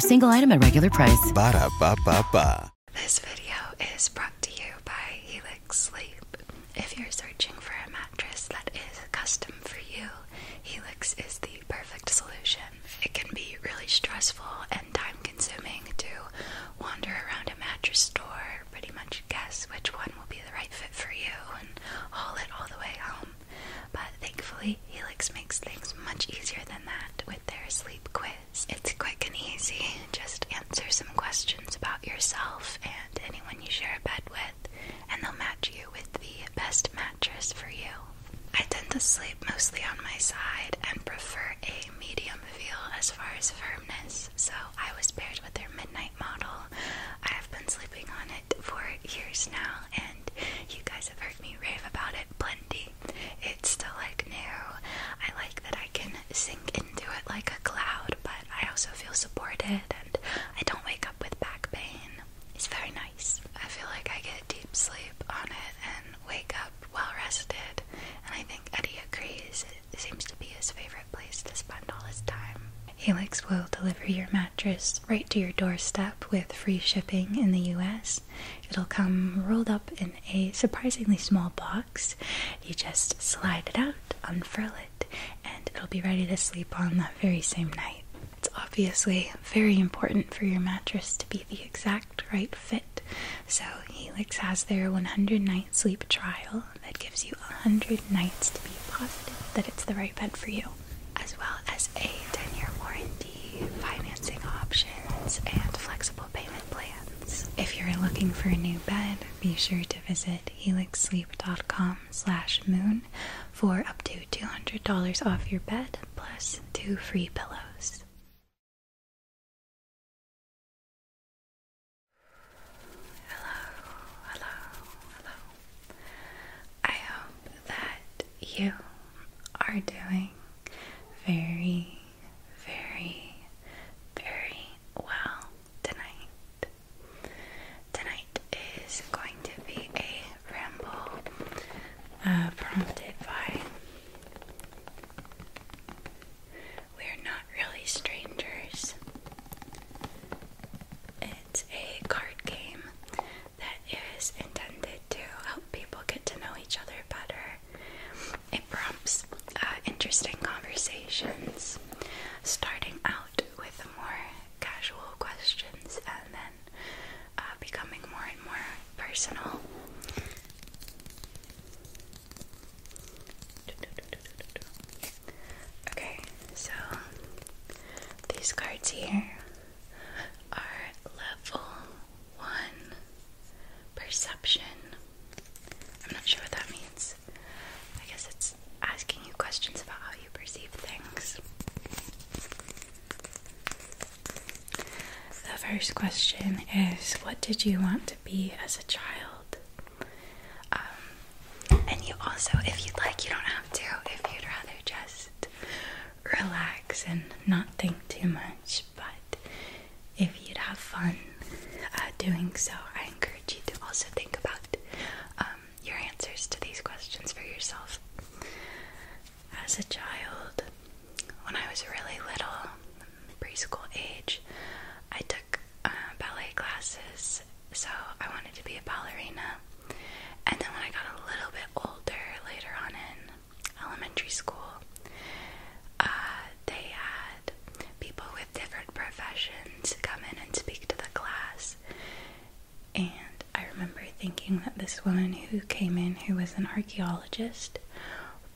single item at regular price. Ba da ba ba This video is brought to you by Helix Sleep. If you're searching for a mattress that is custom for you, Helix is the perfect solution. It can be really stressful and time consuming to wander around a mattress store, pretty much guess which one will be the right fit for you, and haul it all the way home. But thankfully, Helix makes things much easier than that with their sleep quiz. It's quick and easy. Just answer some questions about yourself and anyone you share a bed with, and they'll match you with the best mattress for you. I tend to sleep mostly on my side and prefer a medium feel as far as firmness, so I was paired with their midnight model. I have been sleeping on it for years now, and you guys have heard me rave about it plenty. It's still like new. I like that I can sink into it like a cloud, but I also feel supported and I don't wake up with back pain. It's very nice. I feel like I get deep sleep on it and wake up well rested, and I think Eddie agrees. It seems to be his favorite place to spend all his time. Helix will deliver your mattress right to your doorstep with free shipping in the US. It'll come rolled up in a surprisingly small box. You just slide it out, unfurl it, and it'll be ready to sleep on that very same night. It's obviously very important for your mattress to be the exact right fit. So, Helix has their 100 night sleep trial that gives you 100 nights to be positive that it's the right bed for you as well as a 10-year warranty, financing options, and flexible payment plans. If you're looking for a new bed, be sure to visit helixsleep.com slash moon for up to $200 off your bed, plus two free pillows. Hello, hello, hello. I hope that you are doing very, very, very well tonight. Tonight is going to be a ramble uh, prompted by. We're not really strangers. It's a card game that is intended to help people get to know each other better. It prompts uh, interesting conversations, starting out with more casual questions and then uh, becoming more and more personal. Okay, so these cards here are level one perception. I'm not sure what that means. I guess it's asking you questions about how you perceive things. The first question is What did you want to be as a child? Um, and you also, if you'd like, you don't have to, if you'd rather just relax and not think too much. But if you'd have fun uh, doing so, I encourage you to also think about um, your answers to these questions for yourself. As a child, when I was really little, preschool age, I took uh, ballet classes, so I wanted to be a ballerina. And then when I got a little bit older, later on in elementary school, uh, they had people with different professions come in and speak to the class. And I remember thinking that this woman who came in, who was an archaeologist,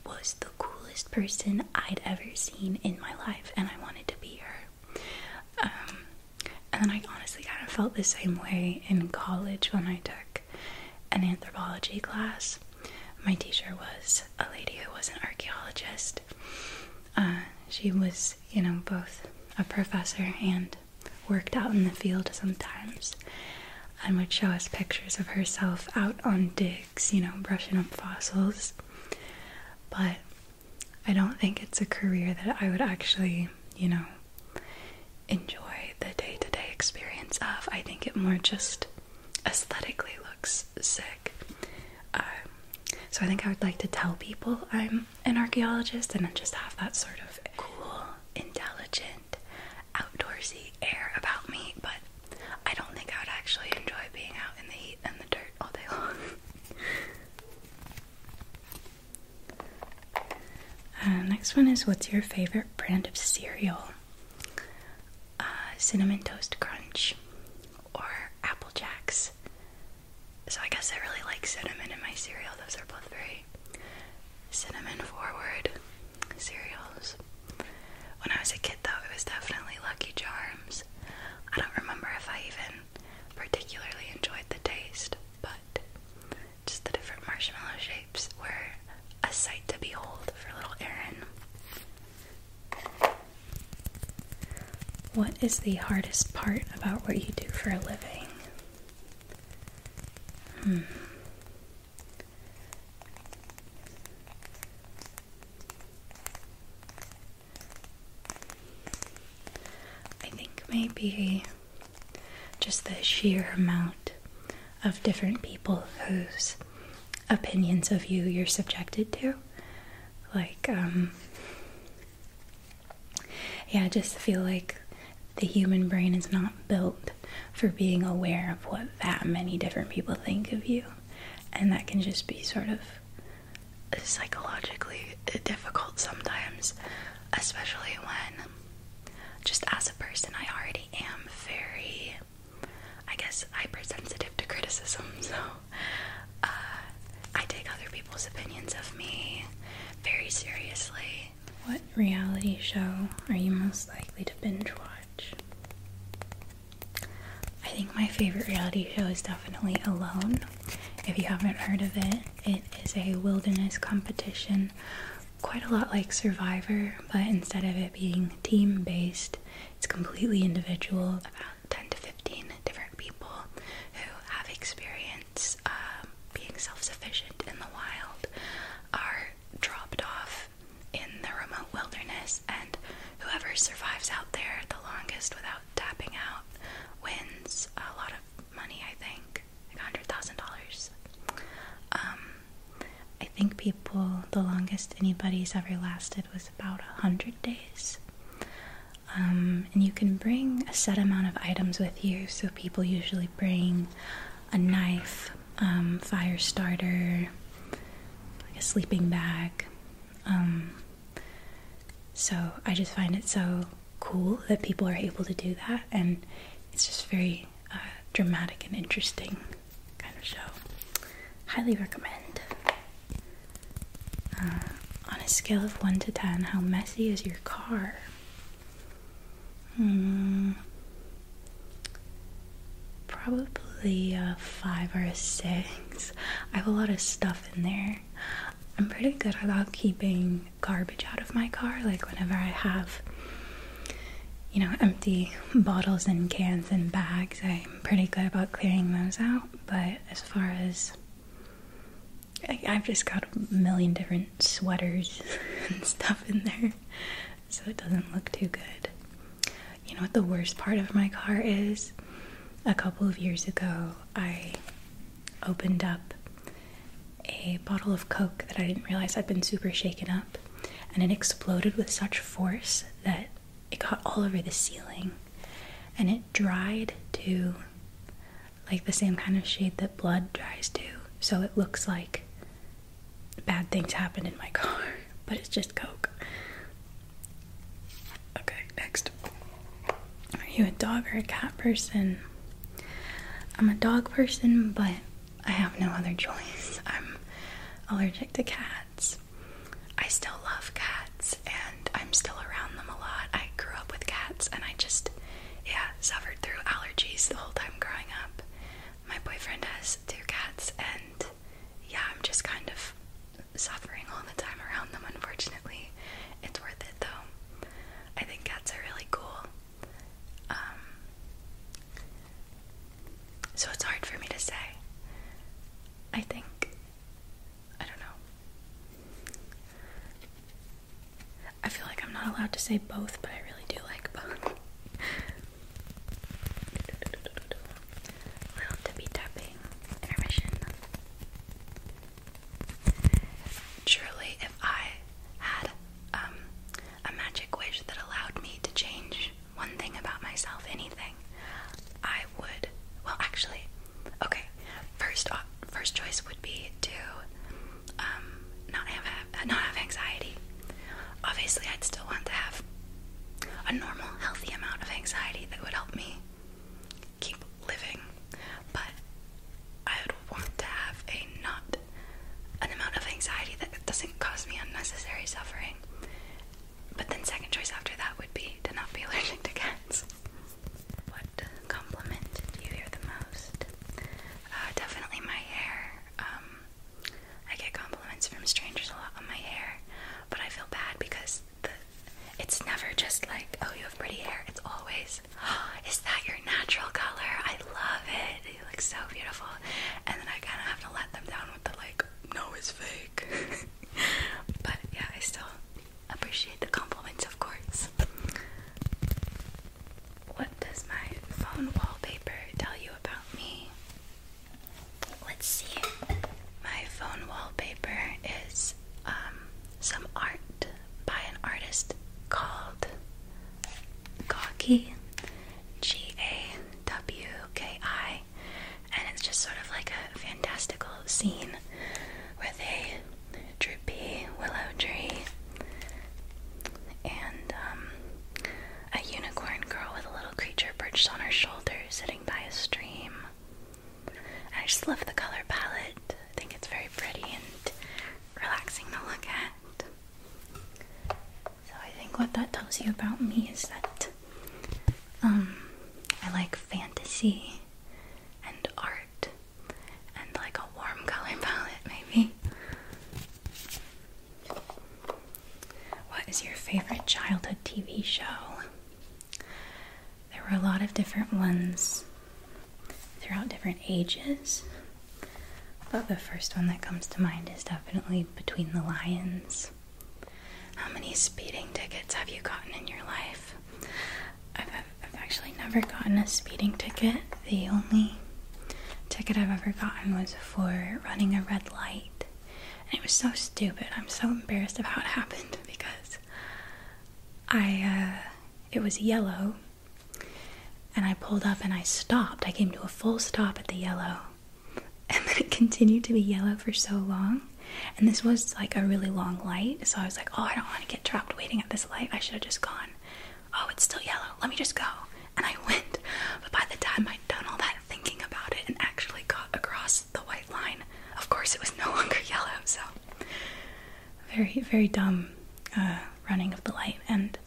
was the coolest person I'd ever seen in my life, and I wanted to be her. Um, and then I honestly kind of felt the same way in college when I took an anthropology class. My teacher was a lady who was an archaeologist. Uh, she was, you know, both a professor and worked out in the field sometimes and would show us pictures of herself out on digs, you know, brushing up fossils. But I don't think it's a career that I would actually, you know, enjoy the day to day experience of. I think it more just aesthetically looks sick. Um, so I think I would like to tell people I'm an archaeologist and just have that sort of cool, intelligent, outdoorsy air about me, but I don't think I would actually enjoy being out in the heat and the dirt all day long. Uh, next one is what's your favorite brand of cereal? Uh, cinnamon Toast Crunch or Apple Jacks. So I guess I really like cinnamon in my cereal. Those are both very cinnamon forward cereals. When I was a kid, though, it was definitely Lucky Charms. I don't remember if I even particularly enjoyed the taste, but just the different marshmallow shapes were a sight to behold for little Aaron. What is the hardest part about what you do for a living? Hmm. I think maybe just the sheer amount of different people whose opinions of you you're subjected to. Like, um, yeah, I just feel like the human brain is not built for being aware of what that many different people think of you. And that can just be sort of psychologically difficult sometimes, especially when just as a person, I already am very, I guess, hypersensitive to criticism. So uh, I take other people's opinions of me very seriously. What reality show are you most likely to binge watch? I think my favorite reality show is definitely Alone. If you haven't heard of it, it is a wilderness competition quite a lot like Survivor, but instead of it being team based, it's completely individual. About 10 to 15 different people who have experience um, being self sufficient in the wild are dropped off in the remote wilderness, and whoever survives out there the longest without tapping out wins a lot of money, I think like hundred thousand dollars. Um, I think people the longest anybody's ever lasted was about a hundred days. Um, and you can bring a set amount of items with you, so people usually bring a knife, um, fire starter, like a sleeping bag. so I just find it so cool that people are able to do that, and it's just very uh, dramatic and interesting kind of show. Highly recommend. Uh, on a scale of 1 to 10, how messy is your car? Hmm. Probably a 5 or a 6. I have a lot of stuff in there. I'm pretty good about keeping garbage out of my car. Like whenever I have, you know, empty bottles and cans and bags, I'm pretty good about clearing those out. But as far as I, have just got a million different sweaters and stuff in there, so it doesn't look too good. You know what the worst part of my car is? A couple of years ago, I opened up a bottle of Coke that I didn't realize I'd been super shaken up, and it exploded with such force that it got all over the ceiling and it dried to like the same kind of shade that blood dries to. So it looks like bad things happened in my car, but it's just Coke. Okay, next. Are you a dog or a cat person? I'm a dog person, but I have no other choice. I'm allergic to cats. I still love cats and I'm still around them a lot. I grew up with cats and I just, yeah, suffered through allergies the whole time growing up. My boyfriend has two cats and yeah, I'm just kind of suffering all the time around them, unfortunately. It's worth it though. I think cats are really cool. Um, so it's hard for me to say. I think. I don't know. I feel like I'm not allowed to say both, but I really do like both. Little tippy tapping intermission. Surely, if I had um, a magic wish that allowed me to change one thing about myself, anything, I would. Well, actually, okay. First, first choice would be to um, not have not have anxiety. Obviously, I'd still want to have a normal, healthy amount of anxiety that would help me keep living, but I would want to have a not an amount of anxiety that doesn't cause me unnecessary suffering. But then, second choice after that would be to not be allergic to cats. What compliment do you hear the most? Uh, definitely my hair. Um, I get compliments from strangers a lot on my hair, but I feel bad because it's never just like, oh, you have pretty hair. It's always, Is that your natural color? I love it. It looks so beautiful. And then I kind of have to let them down with the like, no, it's fake. but yeah, I still appreciate the compliments, of course. What does my phone wallpaper tell you about me? Let's see. My phone wallpaper is um, some art by an artist called Gawky, G A W K I, and it's just sort of like a fantastical scene with a droopy willow tree and um, a unicorn girl with a little creature perched on her shoulder sitting by a stream. I just love the color palette. I think it's very pretty and relaxing to look at. So I think what that tells you about me is that um I like fantasy and art and like a warm color palette maybe. What is your favorite childhood TV show? There were a lot of different ones throughout different ages. But the first one that comes to mind is definitely Between the Lions. How many speeding tickets have you gotten in your life? I've, actually never gotten a speeding ticket. The only ticket I've ever gotten was for running a red light. And it was so stupid. I'm so embarrassed about how it happened because I, uh, it was yellow and I pulled up and I stopped. I came to a full stop at the yellow. And then it continued to be yellow for so long. And this was like a really long light. So I was like, oh, I don't want to get trapped waiting at this light. I should have just gone. Oh, it's still yellow. Let me just go. And I went. But by the time I'd done all that thinking about it and actually got across the white line, of course it was no longer yellow. So very, very dumb uh, running of the light. And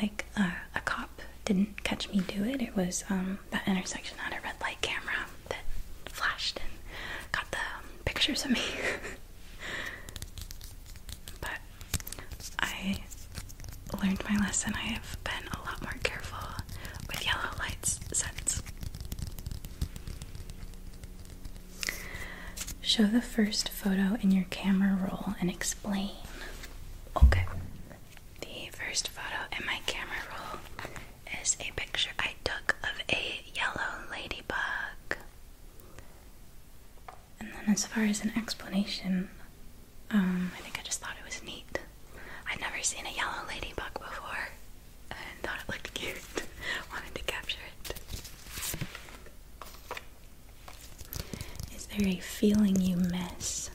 like uh, a cop didn't catch me do it. It was um, that intersection had a red light camera that flashed and got the pictures of me. but I learned my lesson. I have been a lot more careful with yellow lights since. Show the first photo in your camera roll and explain. Okay. The first photo in my camera roll is a picture I took of a yellow ladybug. And then, as far as an explanation, um, I think I just thought it was neat. I'd never seen a yellow ladybug before and thought it looked cute. Wanted to capture it. Is there a feeling you miss?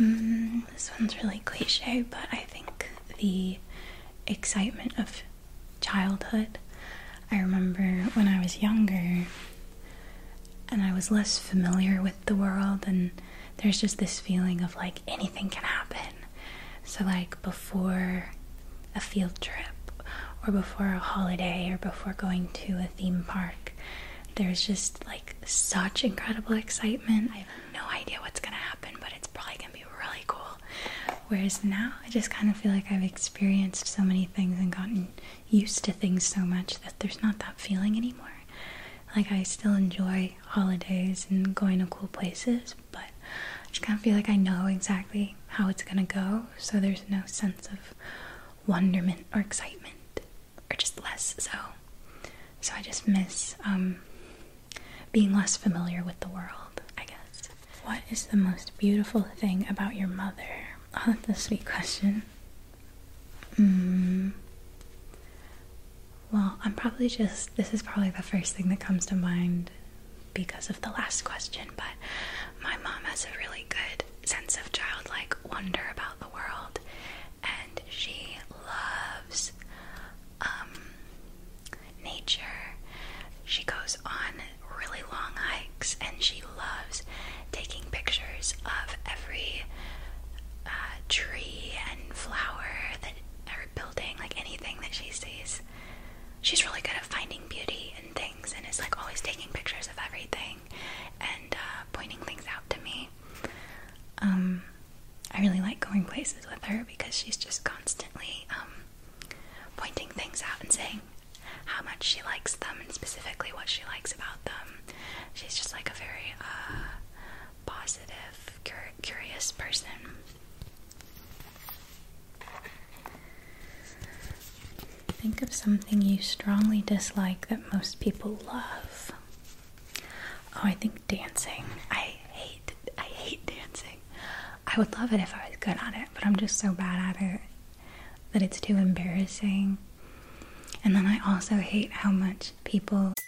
Mm, this one's really cliche, but I think the excitement of childhood. I remember when I was younger and I was less familiar with the world, and there's just this feeling of like anything can happen. So, like, before a field trip or before a holiday or before going to a theme park. There's just like such incredible excitement. I have no idea what's gonna happen, but it's probably gonna be really cool. Whereas now, I just kind of feel like I've experienced so many things and gotten used to things so much that there's not that feeling anymore. Like, I still enjoy holidays and going to cool places, but I just kind of feel like I know exactly how it's gonna go, so there's no sense of wonderment or excitement, or just less so. So I just miss um, being less familiar with the world, I guess. What is the most beautiful thing about your mother? Oh, that's a sweet question. Mm, well, I'm probably just, this is probably the first thing that comes to mind because of the last question, but my mom has a really good sense of childlike wonder about the world, and she loves um, nature. She goes on really long hikes, and she loves taking pictures of every uh, tree and flower that building, like anything that she sees. She's really good at finding beauty in things and is like always taking pictures of everything and uh, pointing things out to me. Um, I really like going places with her because she's just constantly um, pointing things out and saying how much she likes them and specifically what she likes about them. She's just like a very uh, positive, curious person. Think of something you strongly dislike that most people love. Oh, I think dancing. I hate I hate dancing. I would love it if I was good at it, but I'm just so bad at it that it's too embarrassing. And then I also hate how much people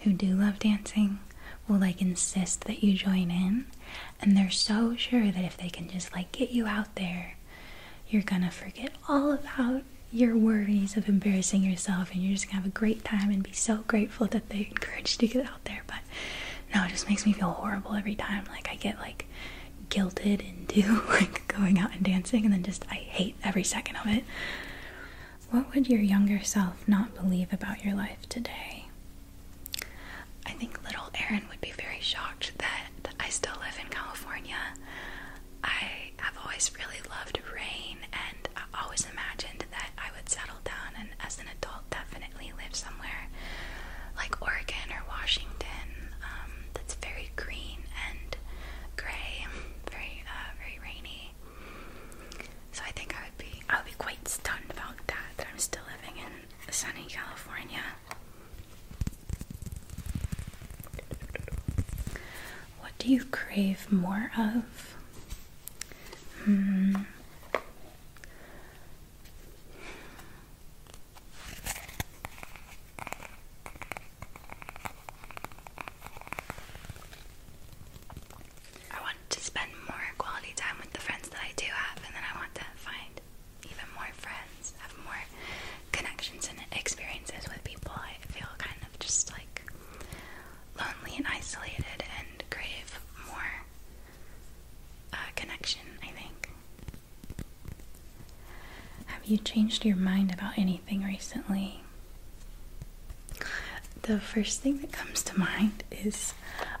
who do love dancing will like insist that you join in, and they're so sure that if they can just like get you out there, you're gonna forget all about your worries of embarrassing yourself and you're just gonna have a great time and be so grateful that they encouraged you to get out there. But no, it just makes me feel horrible every time. Like I get like guilted into like going out and dancing and then just I hate every second of it. What would your younger self not believe about your life today? I think little Erin would be very shocked that I still live in California. I have always really loved rain and I always imagined that I would settle down and as an adult definitely live somewhere like Oregon or Washington um, that's very green and gray, very uh, very, rainy. So I think I would be, I would be quite stunned about that. That I'm still living in sunny California. What do you crave more of? Hmm. I want to spend more quality time with the friends that I do have, and then I want to find even more friends, have more connections and experiences with people. I feel kind of just like lonely and isolated and crave more uh, connection, I think. Have you changed your mind about anything recently? The first thing that comes to mind is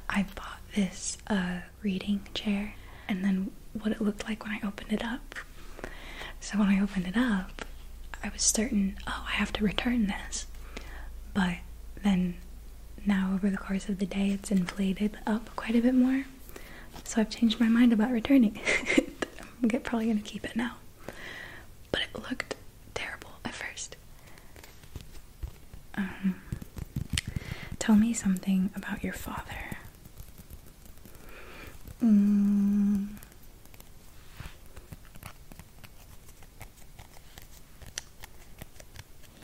I bought this uh, reading chair and then what it looked like when I opened it up. So when I opened it up, I was certain, oh, I have to return this. But then now over the course of the day, it's inflated up quite a bit more. So I've changed my mind about returning I'm probably going to keep it now but it looked terrible at first. Um, tell me something about your father. Mm.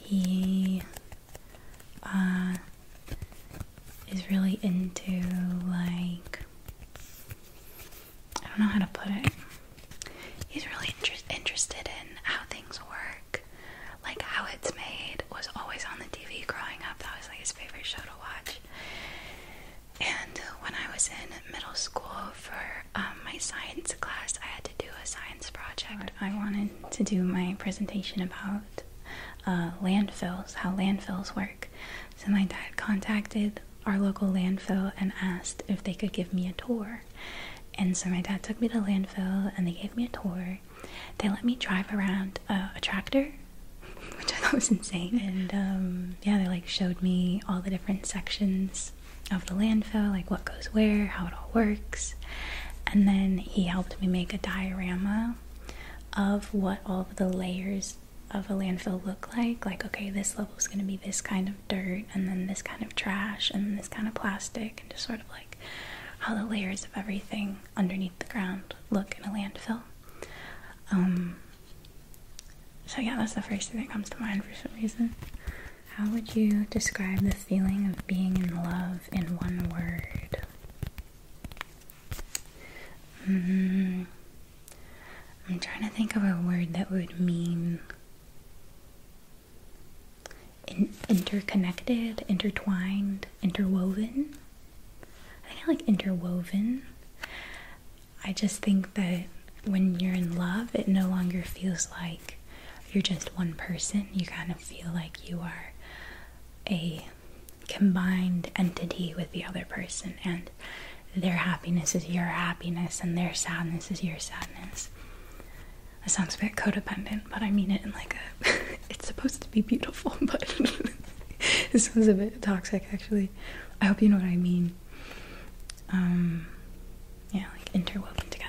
He uh, is really into like I don't know how to put it. He's really inter interested in how things work, like how it's made. Was always on the TV growing up. That was like his favorite show to watch. And when I was in middle school for um, my science class, I had to do a science project. I wanted to do my presentation about uh, landfills, how landfills work. So my dad contacted our local landfill and asked if they could give me a tour. And so my dad took me to landfill and they gave me a tour. They let me drive around a tractor, which I thought was insane. And um, yeah, they like showed me all the different sections of the landfill, like what goes where, how it all works. And then he helped me make a diorama of what all of the layers of a landfill look like? Like, okay, this level is going to be this kind of dirt, and then this kind of trash, and this kind of plastic, and just sort of like how the layers of everything underneath the ground look in a landfill. Um, so, yeah, that's the first thing that comes to mind for some reason. How would you describe the feeling of being in love in one word? Mm, I'm trying to think of a word that would mean interconnected, intertwined, interwoven. I think like interwoven. I just think that when you're in love, it no longer feels like you're just one person. You kind of feel like you are a combined entity with the other person, and their happiness is your happiness, and their sadness is your sadness. It sounds a bit codependent, but I mean it in like a. it's supposed to be beautiful, but it sounds a bit toxic actually. I hope you know what I mean. Um, yeah, like interwoven together.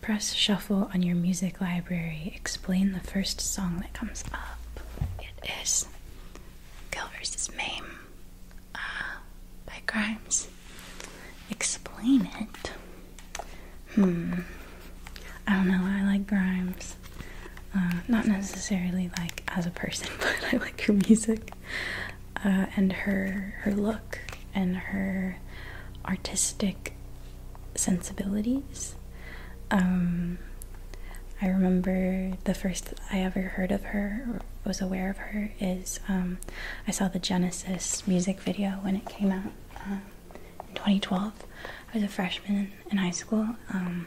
Press shuffle on your music library. Explain the first song that comes up. It is Kill vs. Mame uh, by Grimes. Explain it. Hmm. I don't know. I like Grimes. Uh, not necessarily like as a person, but I like her music uh, and her her look and her artistic sensibilities. Um, I remember the first I ever heard of her or was aware of her is um, I saw the Genesis music video when it came out uh, in 2012. I was a freshman in high school, um,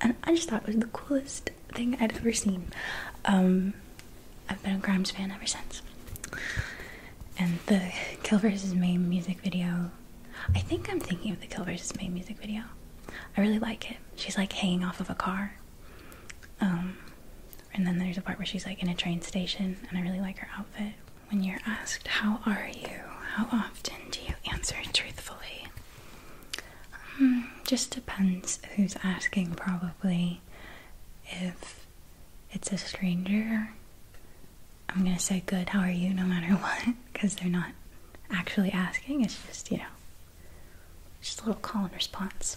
and I just thought it was the coolest thing I'd ever seen. I've been a Grimes fan ever since and the Kill vs. May music video. I think I'm thinking of the Kill vs. May music video. I really like it. She's like hanging off of a car. Um, and then there's a part where she's like in a train station, and I really like her outfit. When you're asked, How are you? How often do you answer truthfully? Um, just depends who's asking, probably. If it's a stranger, I'm gonna say good, how are you, no matter what, because they're not actually asking. It's just, you know, just a little call and response.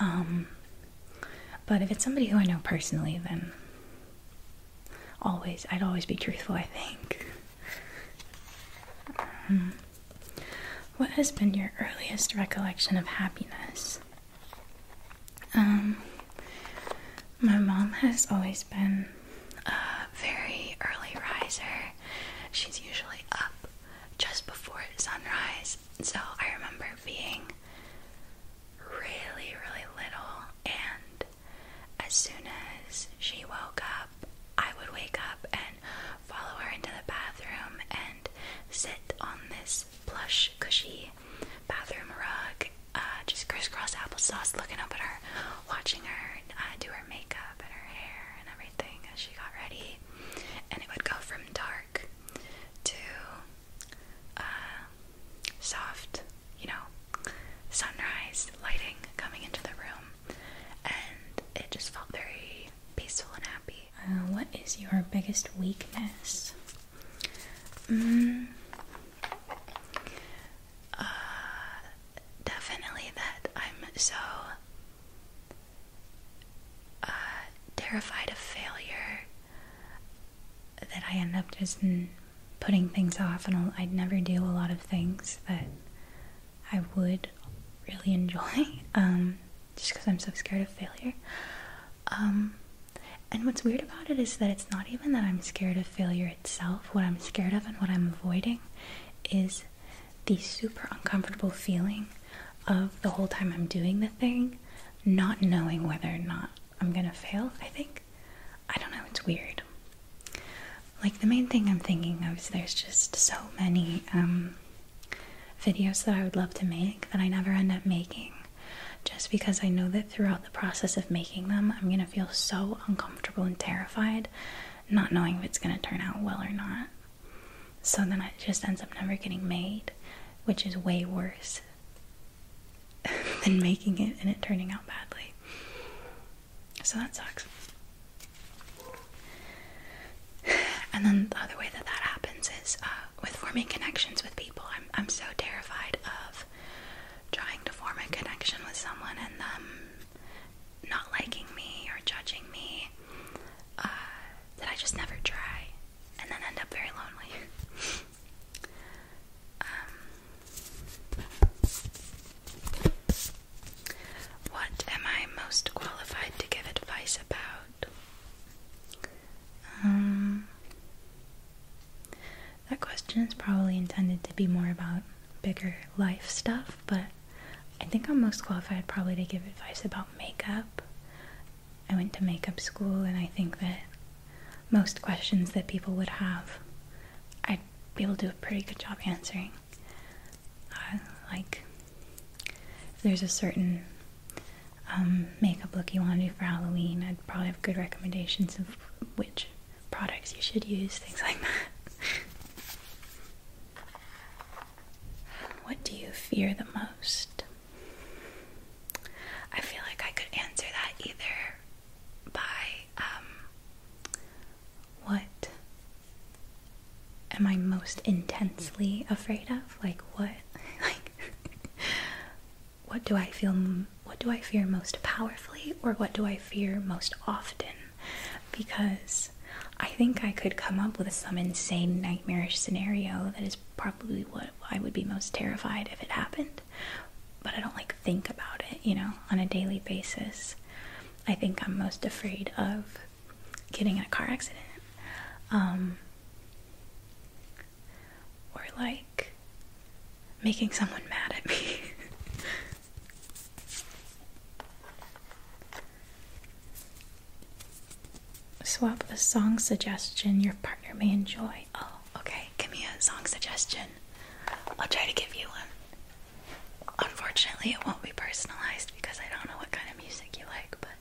Um, but if it's somebody who I know personally, then always, I'd always be truthful, I think. Um, what has been your earliest recollection of happiness? Um, my mom has always been a very early riser. She's usually up just before sunrise. So I remember being really, really little, and as soon as she woke up, I would wake up and follow her into the bathroom and sit on this plush, cushy bathroom rug, uh, just crisscross applesauce, looking up at her, watching her uh, do her makeup and her hair and everything as she got ready. And it would go from dark to uh, soft, you know, sunrise lighting coming into the room, and it just felt very peaceful and happy. what is your biggest weakness? Mm. Uh, definitely that I'm so uh, terrified of failure that I end up just putting things off, and I'd never do a lot of things that I would really enjoy um, just because I'm so scared of failure. Um, and what's weird about it is that it's not even that I'm scared of failure itself. What I'm scared of and what I'm avoiding is the super uncomfortable feeling of the whole time I'm doing the thing, not knowing whether or not I'm gonna fail, I think. I don't know, it's weird. Like, the main thing I'm thinking of is there's just so many um, videos that I would love to make that I never end up making just because I know that throughout the process of making them, I'm going to feel so uncomfortable and terrified, not knowing if it's going to turn out well or not. So then it just ends up never getting made, which is way worse than making it and it turning out badly. So that sucks. And then the other way that that happens is uh, with forming connections with people. I'm I'm so terrified of trying to form a connection with someone and them not liking me or judging me uh, that I just never try and then end up very lonely. Um, what am I most qualified to give advice about? Um, that question is probably intended to be more about bigger life stuff, but I think I'm most qualified probably to give advice about makeup. I went to makeup school, and I think that most questions that people would have, I'd be able to do a pretty good job answering. Uh, like, there's a certain um, makeup look you want to do for Halloween. I'd probably have good recommendations of which products you should use, things like that. what do you fear the most? I feel like I could answer that either by um, what am I most intensely afraid of? Like what? like what do I feel what do I fear most powerfully or what do I fear most often because I think I could come up with some insane nightmarish scenario that is probably what I would be most terrified if it happened but I don't like think about it you know on a daily basis I think I'm most afraid of getting in a car accident um, or like making someone mad at me. Swap a song suggestion your partner may enjoy. Oh, okay. Give me a song suggestion. I'll try to give you one. Unfortunately, it won't be personalized because I don't know what kind of music you like, but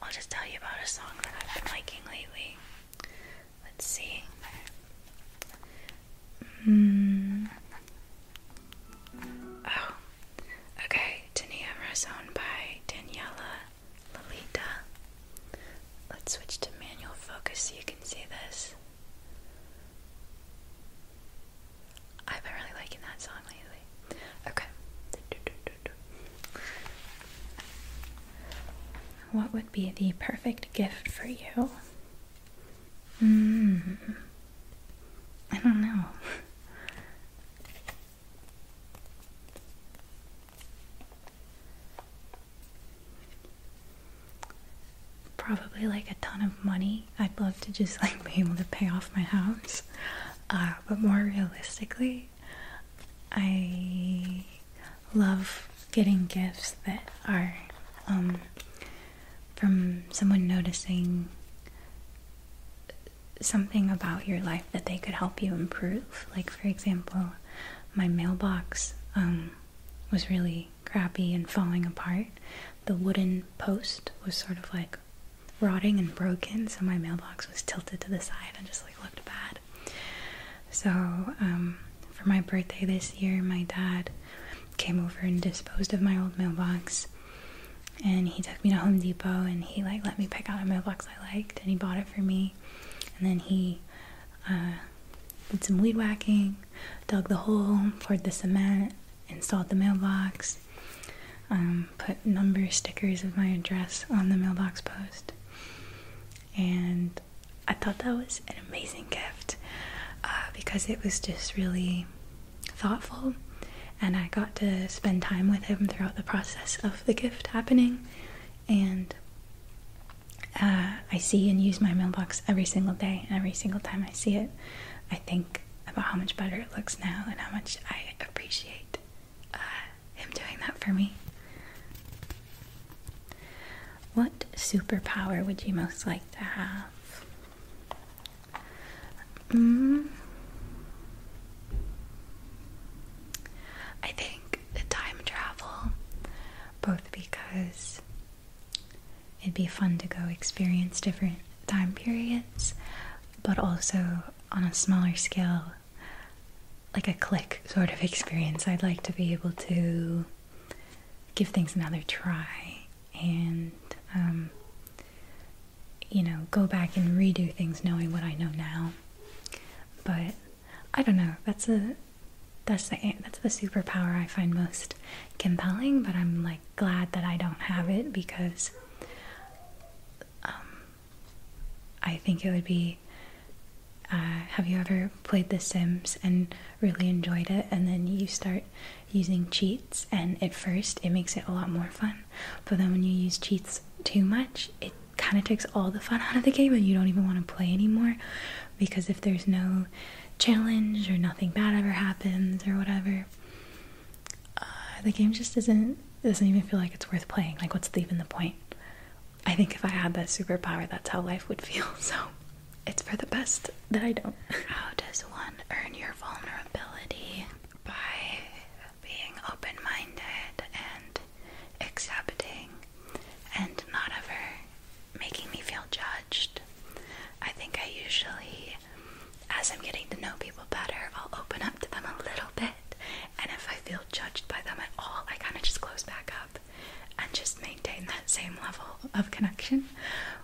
I'll just tell you about a song that I've been liking lately. Let's see. Hmm. Oh, okay. Tania Razon by Daniela Lolita. Let's switch to manual focus so you can see this. I've been really liking that song lately. Okay. What would be the perfect gift for you? Mm. I don't know. Probably like a ton of money. I'd love to just like be able to pay off my house. Uh, but more realistically, I love getting gifts that are um, from someone noticing something about your life that they could help you improve. Like, for example, my mailbox um, was really crappy and falling apart. The wooden post was sort of like rotting and broken, so my mailbox was tilted to the side and just like looked bad. So, um, for my birthday this year, my dad came over and disposed of my old mailbox. And he took me to Home Depot and he like let me pick out a mailbox I liked and he bought it for me. And then he uh, did some weed whacking, dug the hole, poured the cement, installed the mailbox, um, put number stickers of my address on the mailbox post, and I thought that was an amazing gift uh, because it was just really thoughtful, and I got to spend time with him throughout the process of the gift happening, and uh, I see and use my mailbox every single day, and every single time I see it, I think about how much better it looks now and how much I appreciate uh, him doing that for me. What superpower would you most like to have? Mm. I think time travel, both because it'd be fun to go experience different time periods, but also on a smaller scale, like a click sort of experience. I'd like to be able to give things another try and um, you know go back and redo things knowing what I know now. But I don't know. That's a that's the that's the superpower I find most compelling. But I'm like glad that I don't have it because um, I think it would be. Uh, have you ever played The Sims and really enjoyed it, and then you start using cheats? And at first, it makes it a lot more fun, but then when you use cheats too much, it kind of takes all the fun out of the game, and you don't even want to play anymore because if there's no challenge or nothing bad ever happens or whatever, uh, the game just isn't doesn't even feel like it's worth playing. Like, what's even the point? I think if I had that superpower, that's how life would feel. So it's for the best that I don't. How does one earn your vulnerability? By being open minded and accepting and not ever making me feel judged. I think I usually, as I'm getting to know people better, I'll open up to them a little bit and if I feel judged by them at all, I kind of just close back up and just maintain that same level of connection.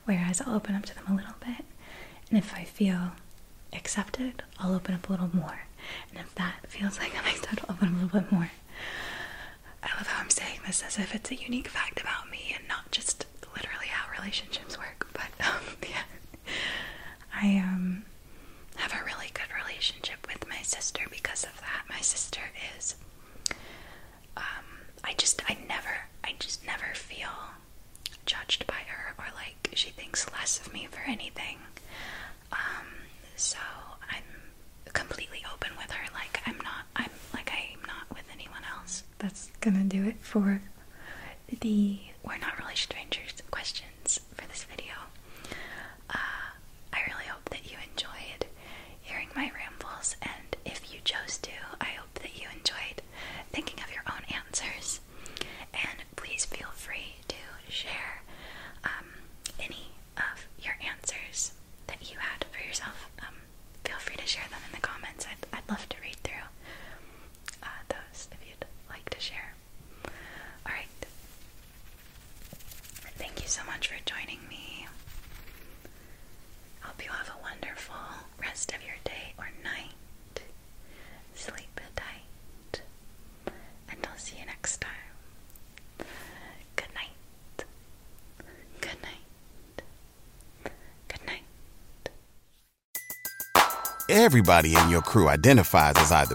Whereas I'll open up to them a little bit. And if I feel accepted, I'll open up a little more. And if that feels like I'm accepted, I'll open up a little bit more. I love how I'm saying this as if it's a unique fact about me and not just literally how relationships work. But um, yeah, I um, have a really good relationship with my sister because of that. My sister is um I just I never I just never feel judged by her or like she thinks less of me for anything. Um so I'm completely open with her like I'm not I'm like I'm not with anyone else. That's gonna do it for the we're not really strangers questions for this video. Uh, I really hope that you enjoyed hearing my rambles, and if you chose to, I hope that you enjoyed thinking of your own answers. And please feel free to share um, any of your answers that you had for yourself. Um, feel free to share them in the comments. I'd, love to read through uh, those if you'd like to share. Alright, Thank you so much for joining me. Hope you have a wonderful rest of your day or night. Sleep tight. And I'll see you next time. Good night. Good night. Good night. Everybody in your crew identifies as either.